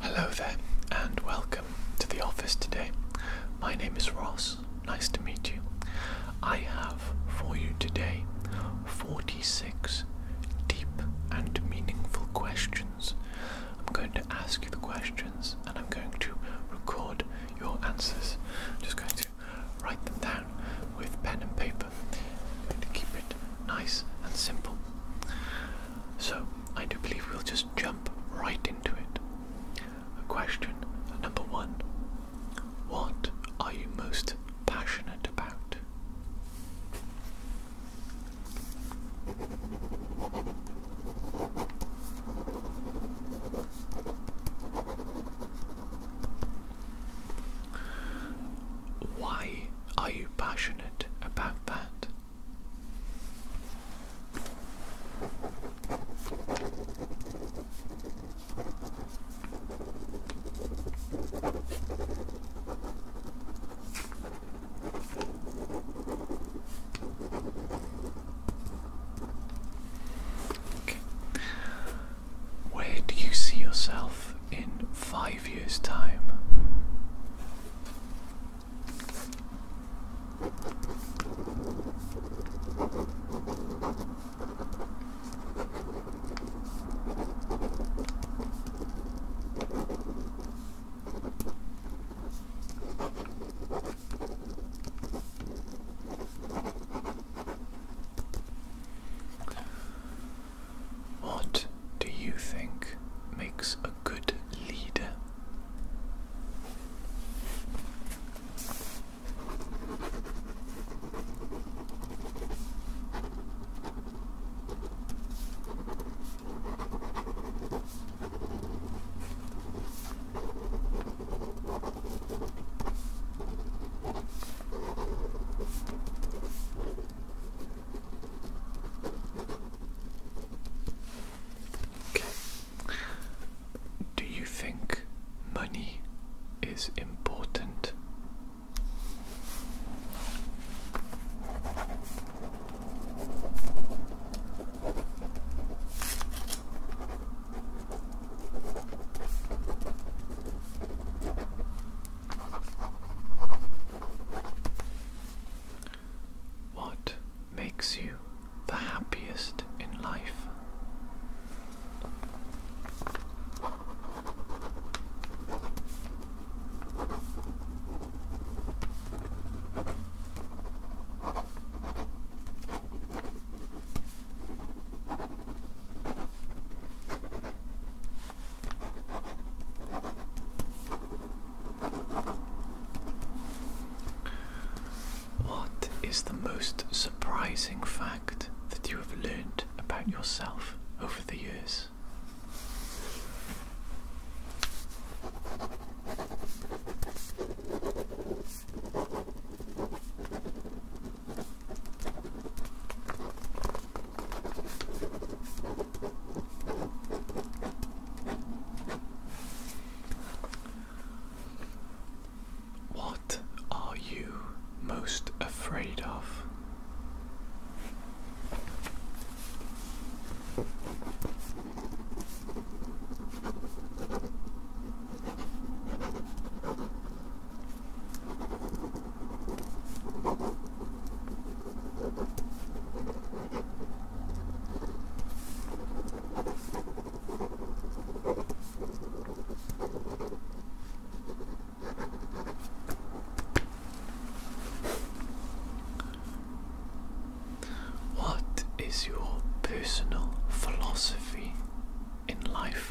Hello there, and welcome to the office today. My name is Ross, nice to meet you. I have for you today 46 deep and meaningful questions. I'm going to ask you the questions and I'm going to record your answers. I'm just going to write them down with pen and paper. I'm going to keep it nice and simple. So I do believe we'll just jump right into it. Question number one What are you most passionate about? Why are you passionate about that? Where do you see yourself in five years' time. What do you think makes a good leader? Okay. Do you think money is important? What makes you the happiest in life? What is the most surprising fact that you have learned about yourself over the years? What are you most afraid of? What is your personal philosophy in life?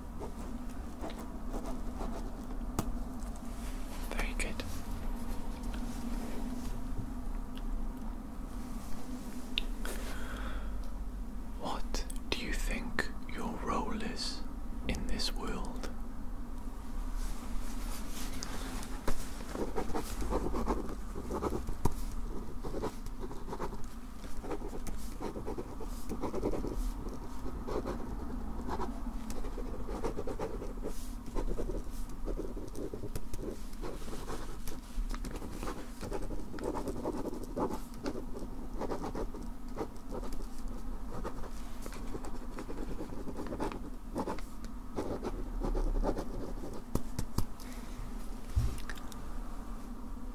Very good. What do you think your role is in this world?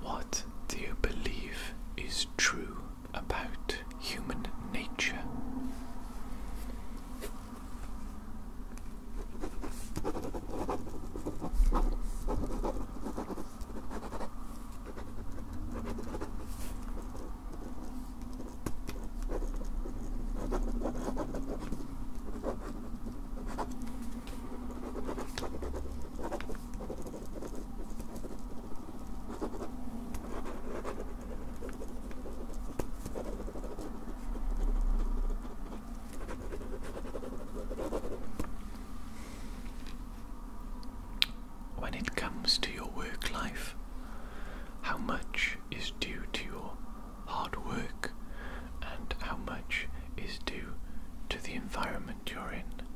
What do you believe is true about human nature. When it comes to your work life, how much is due to your hard work and how much is due to the environment you're in?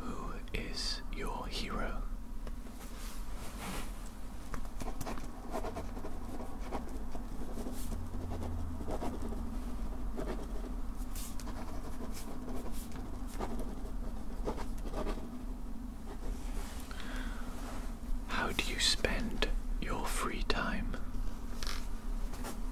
Who is your hero? How do you spend your free time?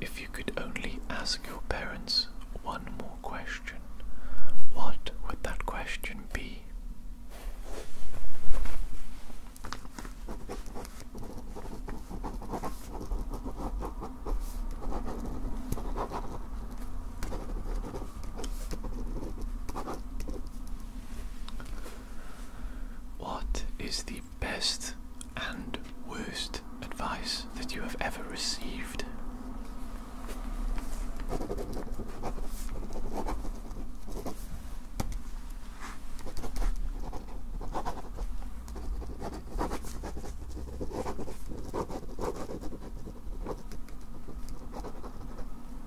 If you could only ask your parents one more question, what would that question be? What is the best and worst advice that you have ever received?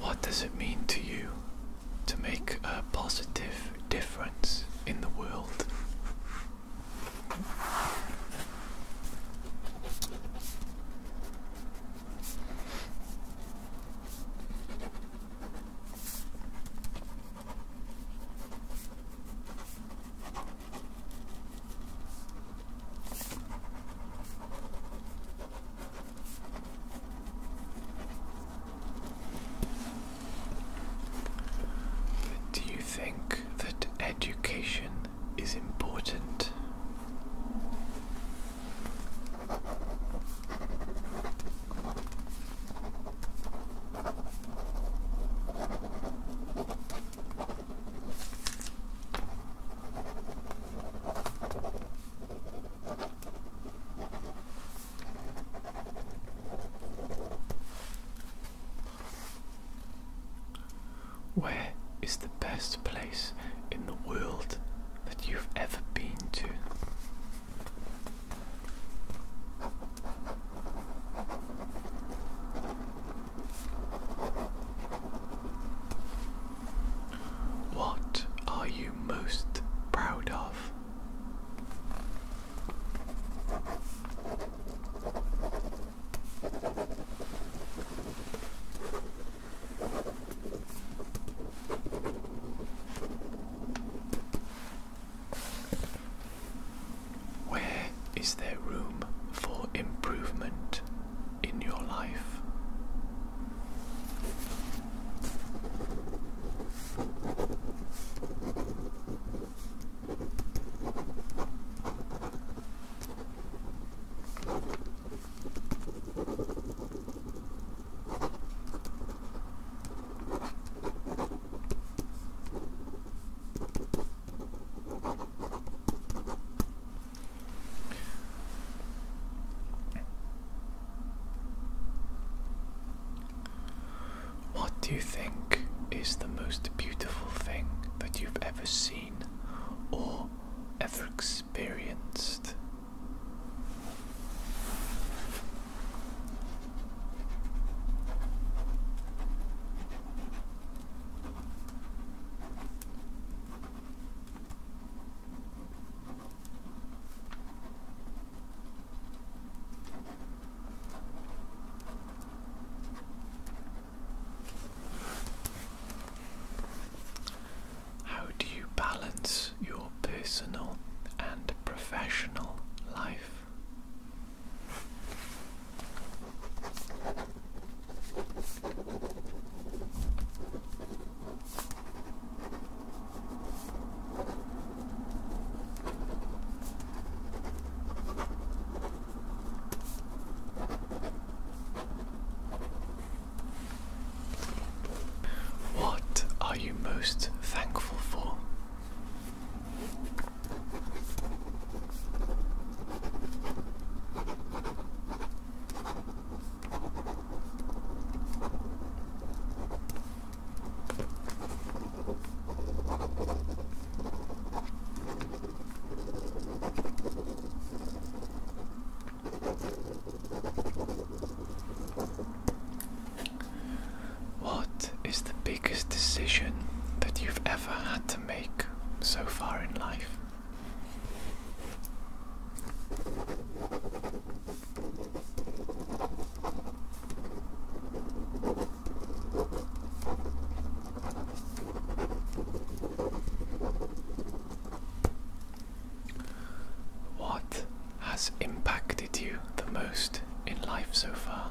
What does it mean to you to make a positive difference in the world? do you think that education is important? Where is the best place in the world that you've ever been to? What are you most proud of? Where is there room for improvement? in your life. What do you think is the most beautiful thing that you've ever seen or ever experienced? How do you balance your personal and professional life? What are you most thankful for? What is the biggest decision that you've ever had to make? make so far in life. What has impacted you the most in life so far?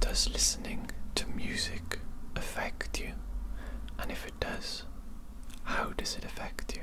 Does listening to music affect you? And if it does, how does it affect you?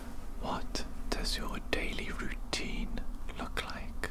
What does your daily routine look like?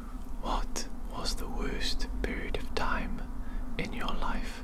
What was the worst period of time in your life?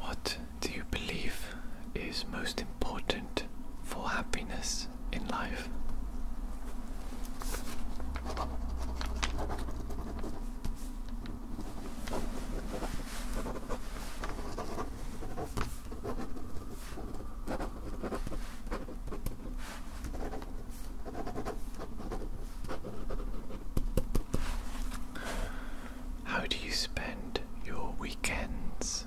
What do you believe is most important for happiness in life? How do you spend your weekends?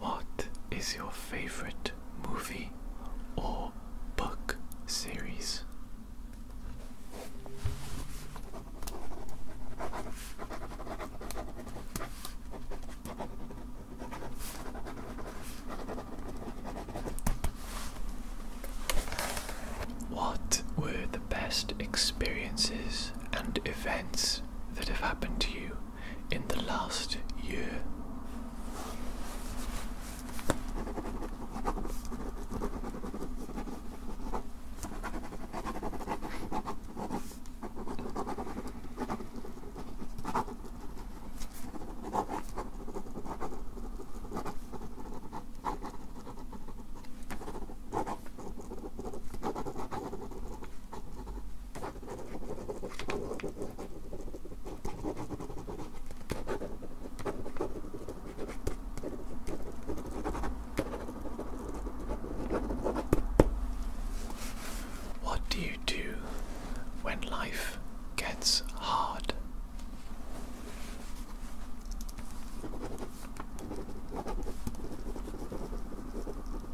What is your favorite movie or book series? What were the best experiences and events that have happened to you in the last year. What do you do when life gets hard?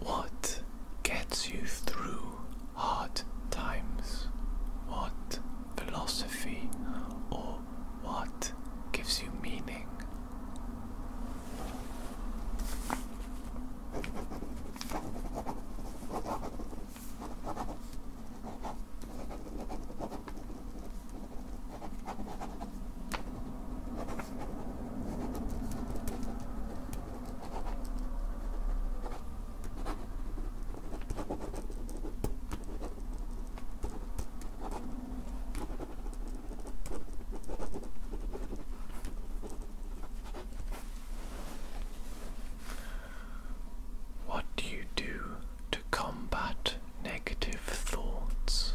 What gets you through hard times? What philosophy or what gives you meaning? What do you do to combat negative thoughts?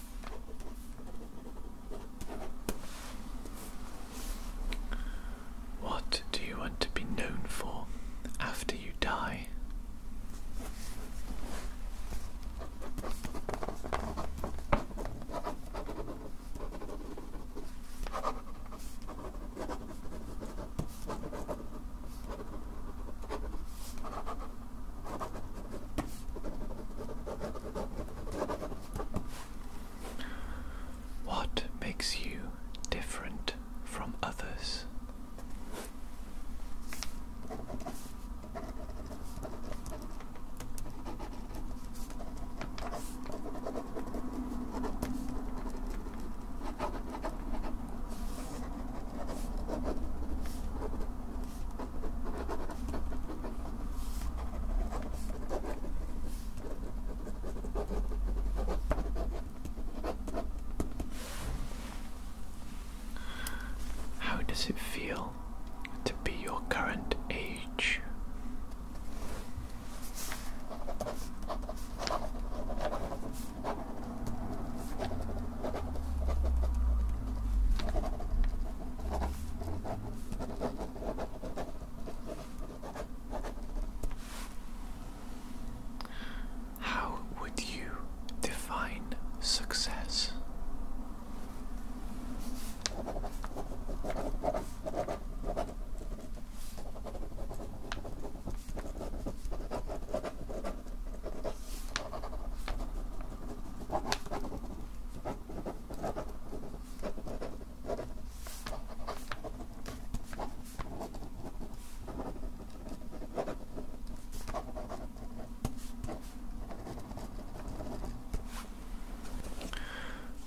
What do you want to be known for after you die? What makes you different from others? How does it feel to be your current age? How would you define success?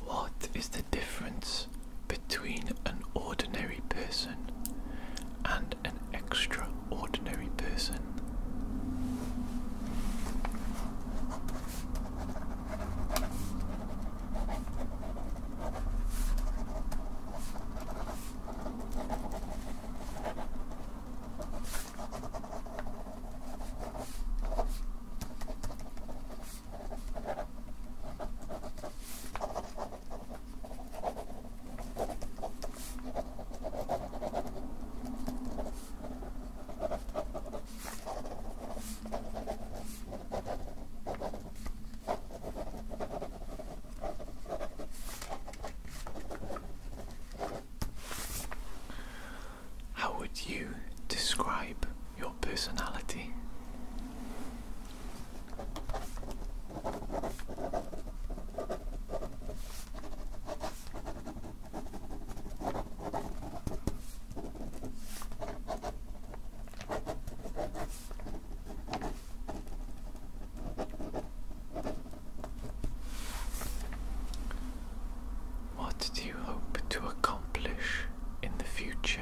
What is the difference between an ordinary person and an extraordinary person. How would you describe your personality? What do you hope to accomplish in the future?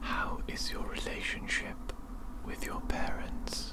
How is your relationship with your parents?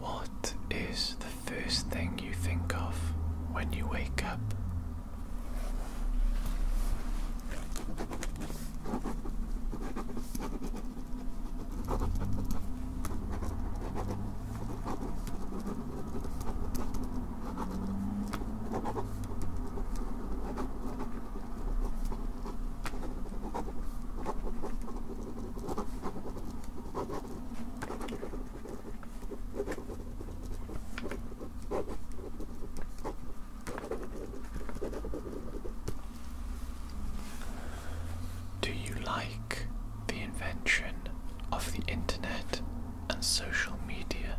What is the first thing you think of when you wake up? Do you like the invention of the internet and social media?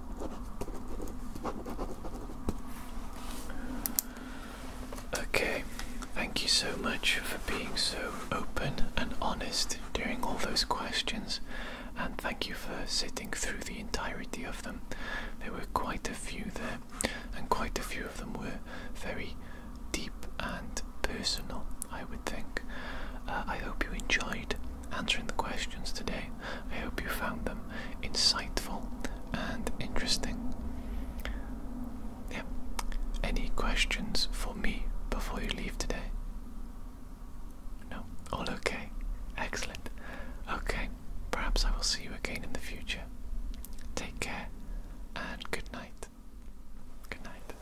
Okay, thank you so much for being so open and honest during all those questions, and thank you for sitting through the entirety of them. There were quite a few there, and quite a few of them were very deep and personal, I would think. Uh, I hope you enjoyed answering the questions today. I hope you found them insightful and interesting. Yeah. Any questions for me before you leave today? No? All okay? Excellent. Okay, perhaps I will see you again in the future. Take care and good night. Good night.